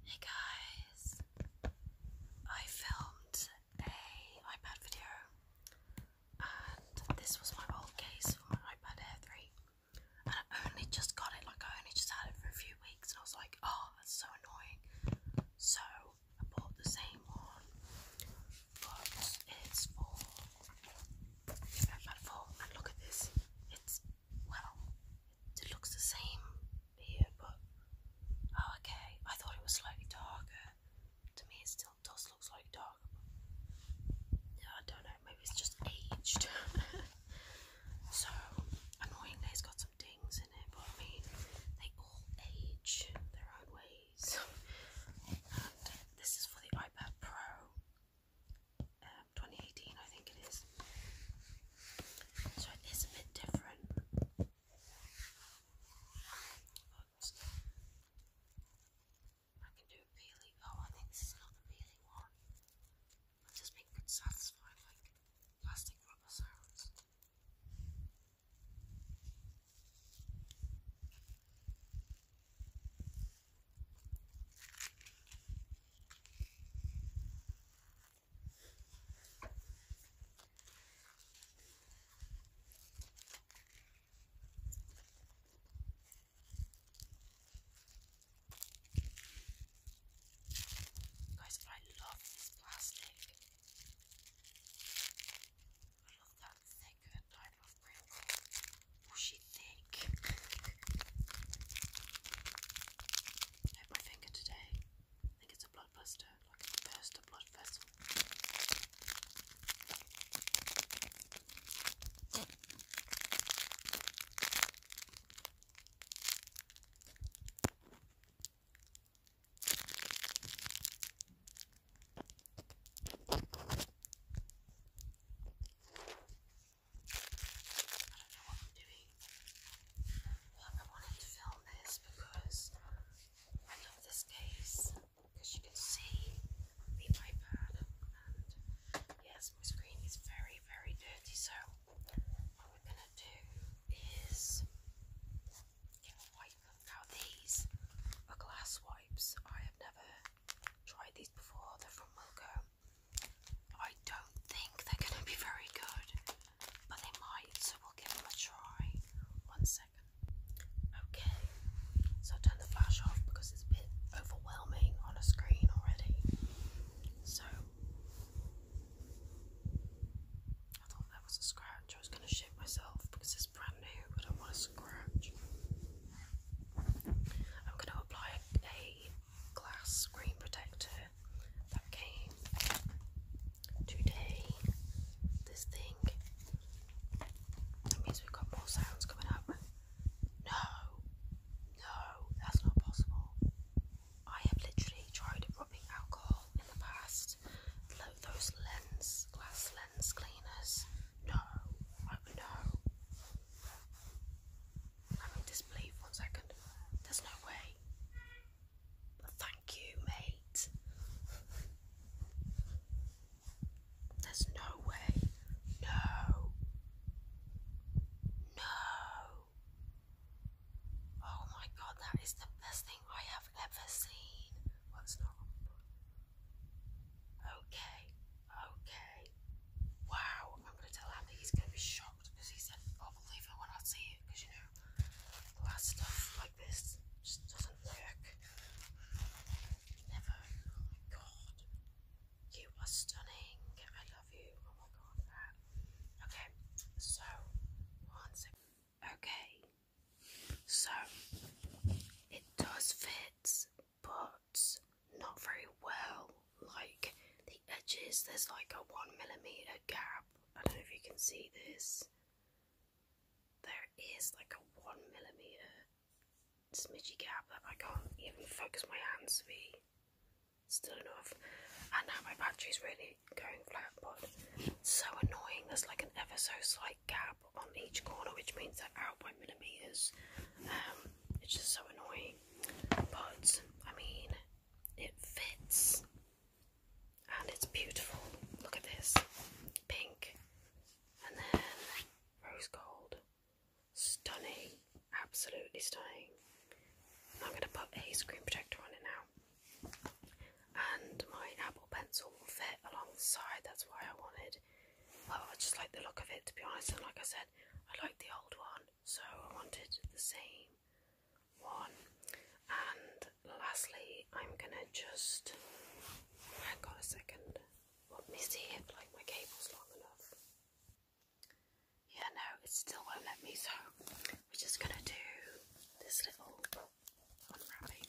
Hey guys, I filmed a iPad video and this was my old case for my iPad Air 3 and I only just got it, like I only just had it for a few weeks and I was like, oh that's so annoying. So I bought the same one but it's for iPad 4 and look at this, it's well, it looks the same here, but oh, okay. I thought it was slightly darker. To me, it still does look slightly darker. Yeah, I don't know. Maybe it's just aged. so annoyingly, it's got some dings in it, but I mean, they all age their own ways. and this is for the iPad Pro um, 2018, I think it is. So it is a bit different. I can do a peely. Oh, I think this is not the peely one. I've just been good plastic rubber sounds. Guys, I love this plastic. I love that thicker type of crinkle. What she think? I hit my finger today. I think it's a blood blister, like it burst blood vessel. I don't know what I'm doing. But I wanted to film this because I love this case. Because you can see the iPad and yes, my screen is very, very dirty. So what we're gonna do is wipe. Now these are glass wipes. I have never tried these before, they're from Wilco. I don't think they're going to be very good, but they might, so we'll give them a try. One second. Okay, so turn the flash off because it's a bit overwhelming on a screen already. So, I thought that was a scratch. I was going to shit myself because it's brand new, but I want to scratch. I'm going to apply a glass screen protector that came today. This thing. That means we've got more sounds coming up. No, no, that's not possible. I have literally tried rubbing alcohol in the past. Those lens, glass lens cleaners, no, no. I'm in disbelief one second. There's no way. Thank you, mate. There's no way. No. No. Oh my god, that is the best thing I have ever seen. Well, it's Okay, Okay. Wow, I'm gonna tell Andy he's gonna be shocked because he said, I'll believe it when I see it because you know glass stuff like this just doesn't work. Never. Oh my god. You are stunning. I love you. Oh my god. Okay, so Okay. So it does fit but not very well. Like the edges, there's like a one millimeter gap. I don't know if you can see this. There is like a one millimeter smidgey gap that I can't even focus my hands to be still enough. And now my battery's really going flat, but so annoying. There's like an ever so slight gap on each corner, which means that out millimeters. Um, it's just so annoying. But I mean, it fits, and it's beautiful. Look at this, pink, and then rose gold. Stunning, absolutely stunning. I'm going to put a screen protector on it now, and my Apple Pencil will fit alongside. That's why I wanted Oh, I just like the look of it to be honest, and like I said, I like the old one, so I wanted the same one. And lastly, I'm gonna just hang on a second. Let me see if like my cable's long enough. Yeah, no, it still won't let me, so we're just gonna do this little unwrapping.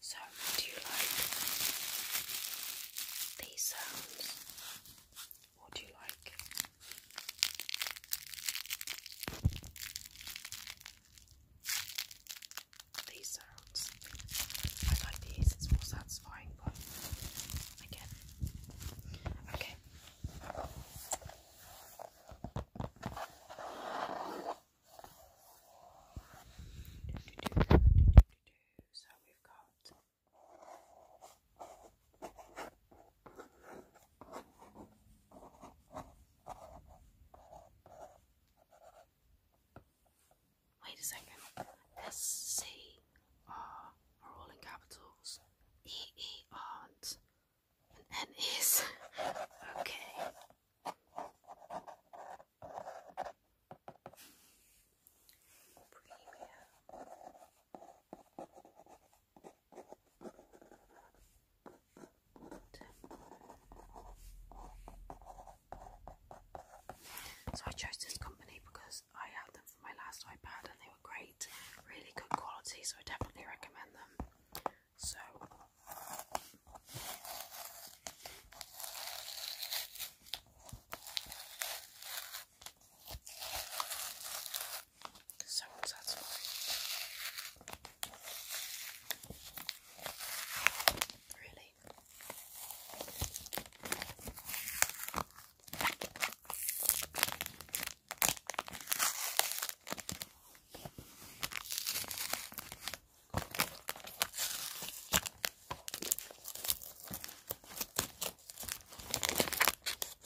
So, do you like these sounds? Or do you like these sounds, I like these, it's more satisfying, but again, okay. So we've got Wait a second. S C R are all in capitals. E And N okay. So I chose this company because I had them for my last iPad and they were great, really good quality, so I definitely recommend them. So sounds satisfying. Really.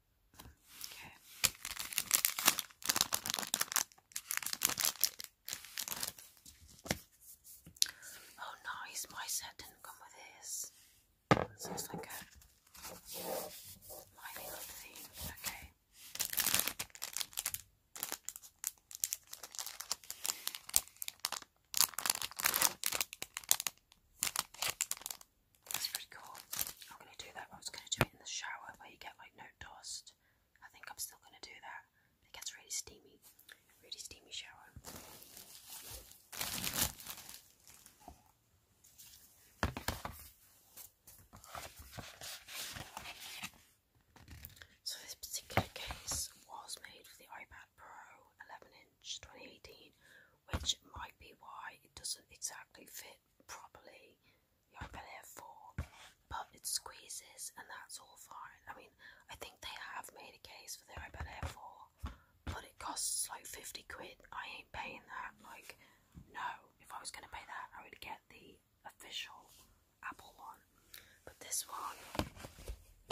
Okay. Oh, nice. My set didn't come with his. So like a my little Okay. That's pretty cool. I'm going to do that. I was going to do it in the shower where you get like no dust. I think I'm still going to do that. It gets really steamy. Really steamy shower. So this particular case was made for the iPad Pro 11 inch. 2018, which might be why it doesn't exactly fit properly the iPad Air 4, but it squeezes and that's all fine. I mean, I think they have made a case for the iPad Air 4, but it costs like 50 quid. I ain't paying that. Like, no, if I was going to pay that, I would get the official Apple one. But this one,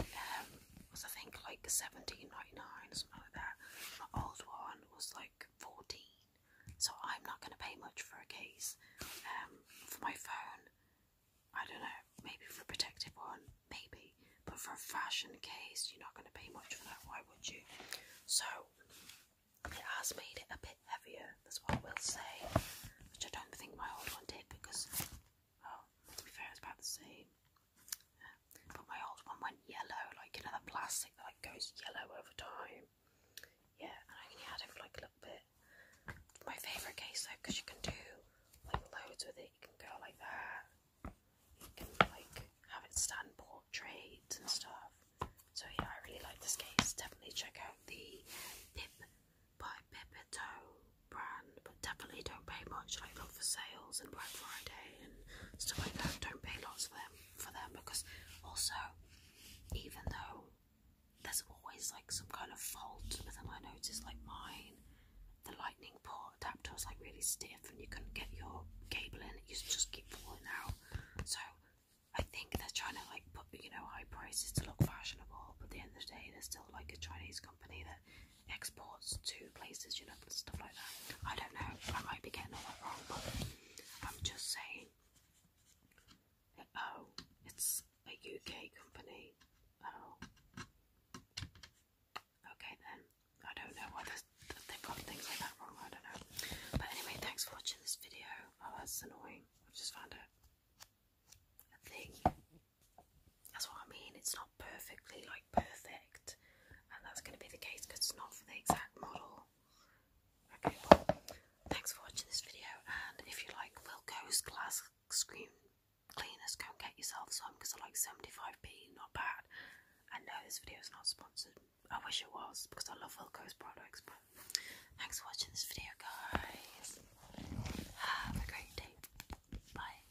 um, was I think like seventeen ninety nine or something like that. My old one was like fourteen. So I'm not gonna pay much for a case. Um for my phone, I don't know, maybe for a protective one, maybe. But for a fashion case, you're not gonna pay much for that, why would you? So it has made it a bit heavier, that's what I will say. Which I don't think my old one did because well, oh, to be fair it's about the same. But my old one went yellow, like another plastic that like, goes yellow over time. Yeah, and I only had it for like a little bit. My favourite case though, because you can do like loads with it. You can go like that. You can like have it stand portraits and stuff. So yeah, I really like this case. Definitely check out the Pip by Pipito brand, but definitely don't pay much. Like look for sales and Black Friday and stuff like that. Don't pay lots for them for them because also even though there's always like some kind of fault with them, I noticed like mine, the lightning port adapter was like really stiff and you couldn't get your cable in, it used to just keep falling out. So I think they're trying to like put you know high prices to look fashionable, but at the end of the day, they're still like a Chinese company that exports to places, you know, stuff like that. I don't know, I might be getting all that wrong, but I'm just saying. Oh, it's a UK company. Oh. Okay then. I don't know why they've things like that wrong, I don't know. But anyway, thanks for watching this video. Oh, that's annoying. i just found a, a thing. That's what I mean. It's not perfectly like perfect, and that's going to be the case because it's not for the exact model. Okay, well, thanks for watching this video, and if you like Wilco's glass screen cleaners, go and get yourself some because I like 75p, not bad. And no, this video is not sponsored. I wish it was because I love Wilco's products. But thanks for watching this video, guys. Have a great day. Bye.